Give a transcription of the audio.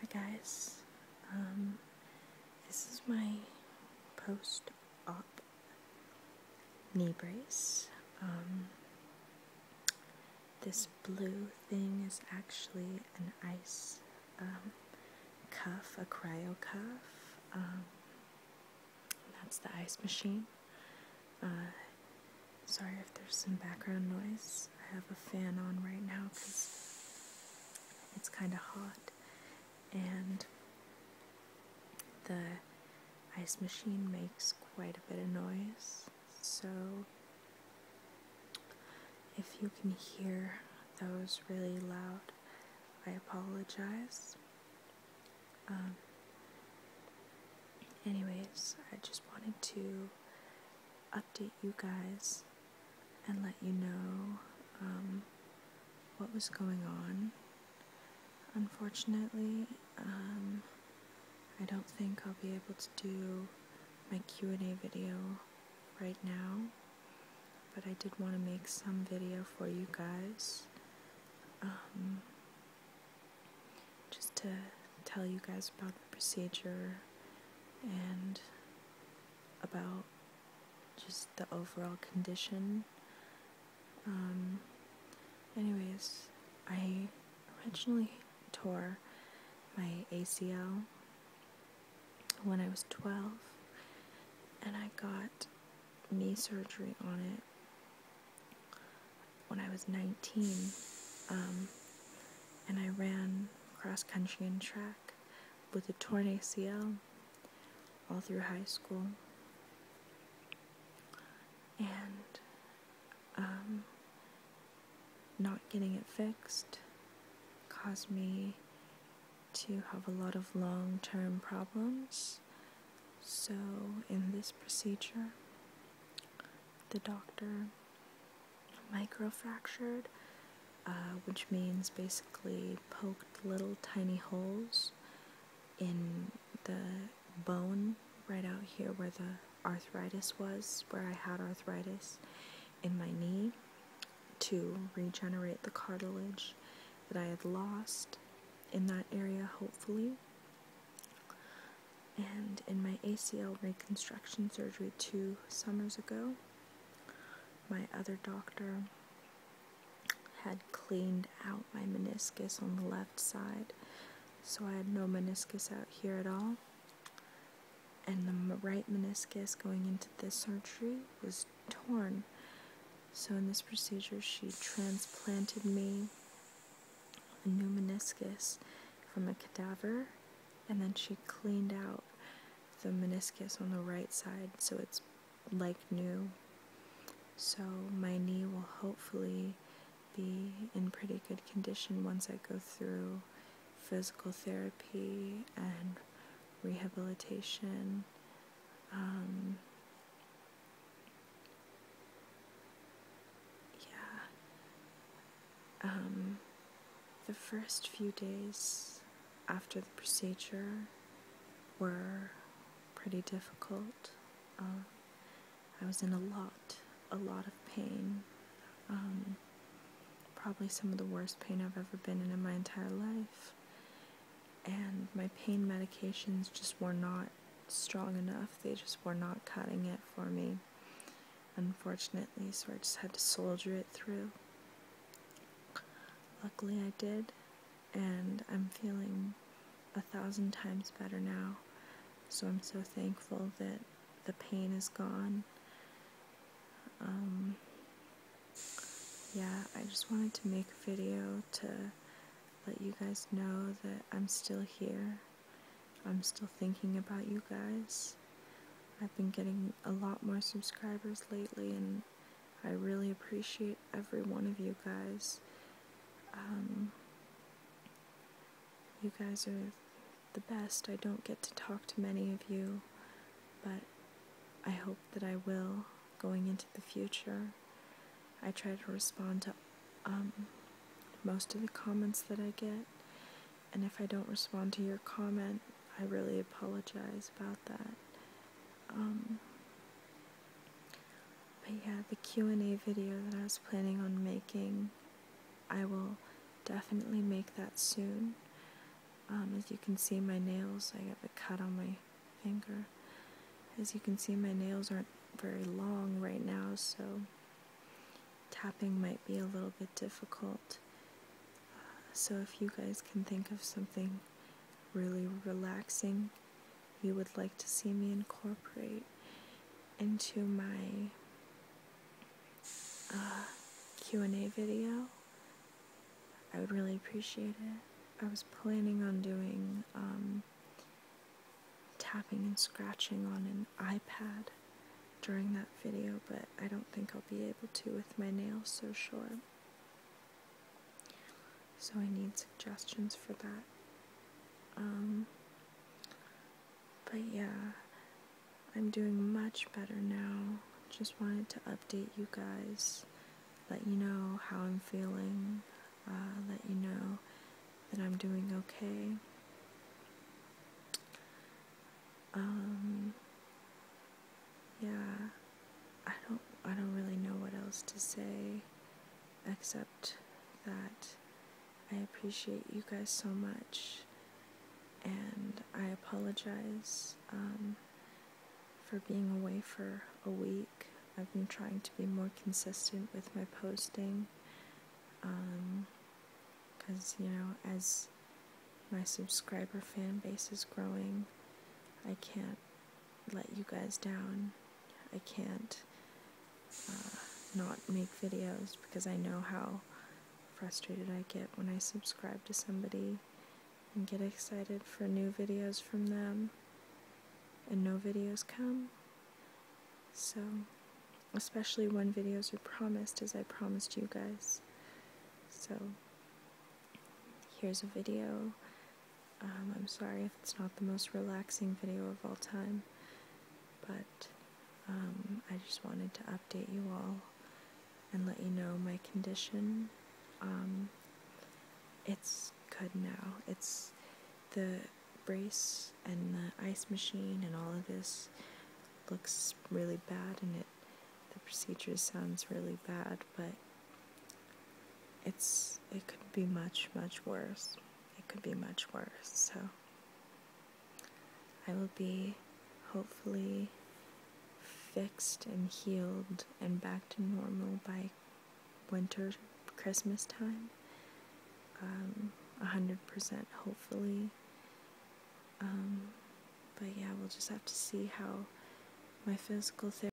Hi guys, um, this is my post-op knee brace. Um, this blue thing is actually an ice um, cuff, a cryo cuff. that's the ice machine. Uh, Sorry if there's some background noise. I have a fan on right now because it's kind of hot and the ice machine makes quite a bit of noise. So if you can hear those really loud, I apologize. Um, Anyways, I just wanted to update you guys and let you know um, what was going on. Unfortunately, um, I don't think I'll be able to do my Q&A video right now, but I did want to make some video for you guys. Um, just to tell you guys about the procedure and about just the overall condition. Um, anyways, I originally tore my ACL when I was 12 and I got knee surgery on it when I was 19, um, and I ran cross country and track with a torn ACL all through high school. And um, not getting it fixed caused me to have a lot of long term problems so, in this procedure, the doctor microfractured, uh, which means basically poked little tiny holes in the bone right out here where the arthritis was, where I had arthritis in my knee to regenerate the cartilage that I had lost in that area, hopefully. And in my ACL reconstruction surgery two summers ago, my other doctor had cleaned out my meniscus on the left side, so I had no meniscus out here at all. And the right meniscus going into this surgery was torn. So, in this procedure, she transplanted me a new meniscus from a cadaver, and then she cleaned out the meniscus on the right side so it's like new. So, my knee will hopefully be in pretty good condition once I go through physical therapy and rehabilitation um, yeah. Um, the first few days after the procedure were pretty difficult. Um, I was in a lot, a lot of pain. probably some of the worst pain I've ever been in in my entire life and my pain medications just were not strong enough. They just were not cutting it for me, unfortunately, so I just had to soldier it through. Luckily, I did, and I'm feeling a thousand times better now. So I'm so thankful that the pain is gone um, yeah, I just wanted to make a video to let you guys know that I'm still here. I'm still thinking about you guys. I've been getting a lot more subscribers lately, and I really appreciate every one of you guys. Um, you guys are the best. I don't get to talk to many of you, but I hope that I will going into the future. I try to respond to um, most of the comments that I get, and if I don't respond to your comment, I really apologize about that. Um, but yeah, the Q&A video that I was planning on making I will definitely make that soon. Um, as you can see, my nails, I have a cut on my finger. As you can see, my nails aren't very long right now, so tapping might be a little bit difficult. so if you guys can think of something really relaxing you would like to see me incorporate into my uh, Q&A video, I would really appreciate it. I was planning on doing um, tapping and scratching on an iPad during that video, but I don't think I'll be able to with my nails so short. So I need suggestions for that. Um, but yeah, I'm doing much better now. Just wanted to update you guys, let you know how I'm feeling, uh, let you know that I'm doing okay. Um, yeah, I don't, I don't really know what else to say, except that I appreciate you guys so much, and I apologize um, for being away for a week. I've been trying to be more consistent with my posting, because, um, you know, as my subscriber fan base is growing, I can't let you guys down. I can't uh, not make videos because I know how frustrated I get when I subscribe to somebody and get excited for new videos from them and no videos come. So, especially when videos are promised as I promised you guys. So, here's a video um, I'm sorry if it's not the most relaxing video of all time, but um, I just wanted to update you all and let you know my condition. Um, it's good now. It's the brace and the ice machine and all of this looks really bad and it the procedure sounds really bad, but it's it could be much much worse it could be much worse so i will be hopefully fixed and healed and back to normal by winter christmas time um, 100% hopefully um, but yeah we'll just have to see how my physical therapy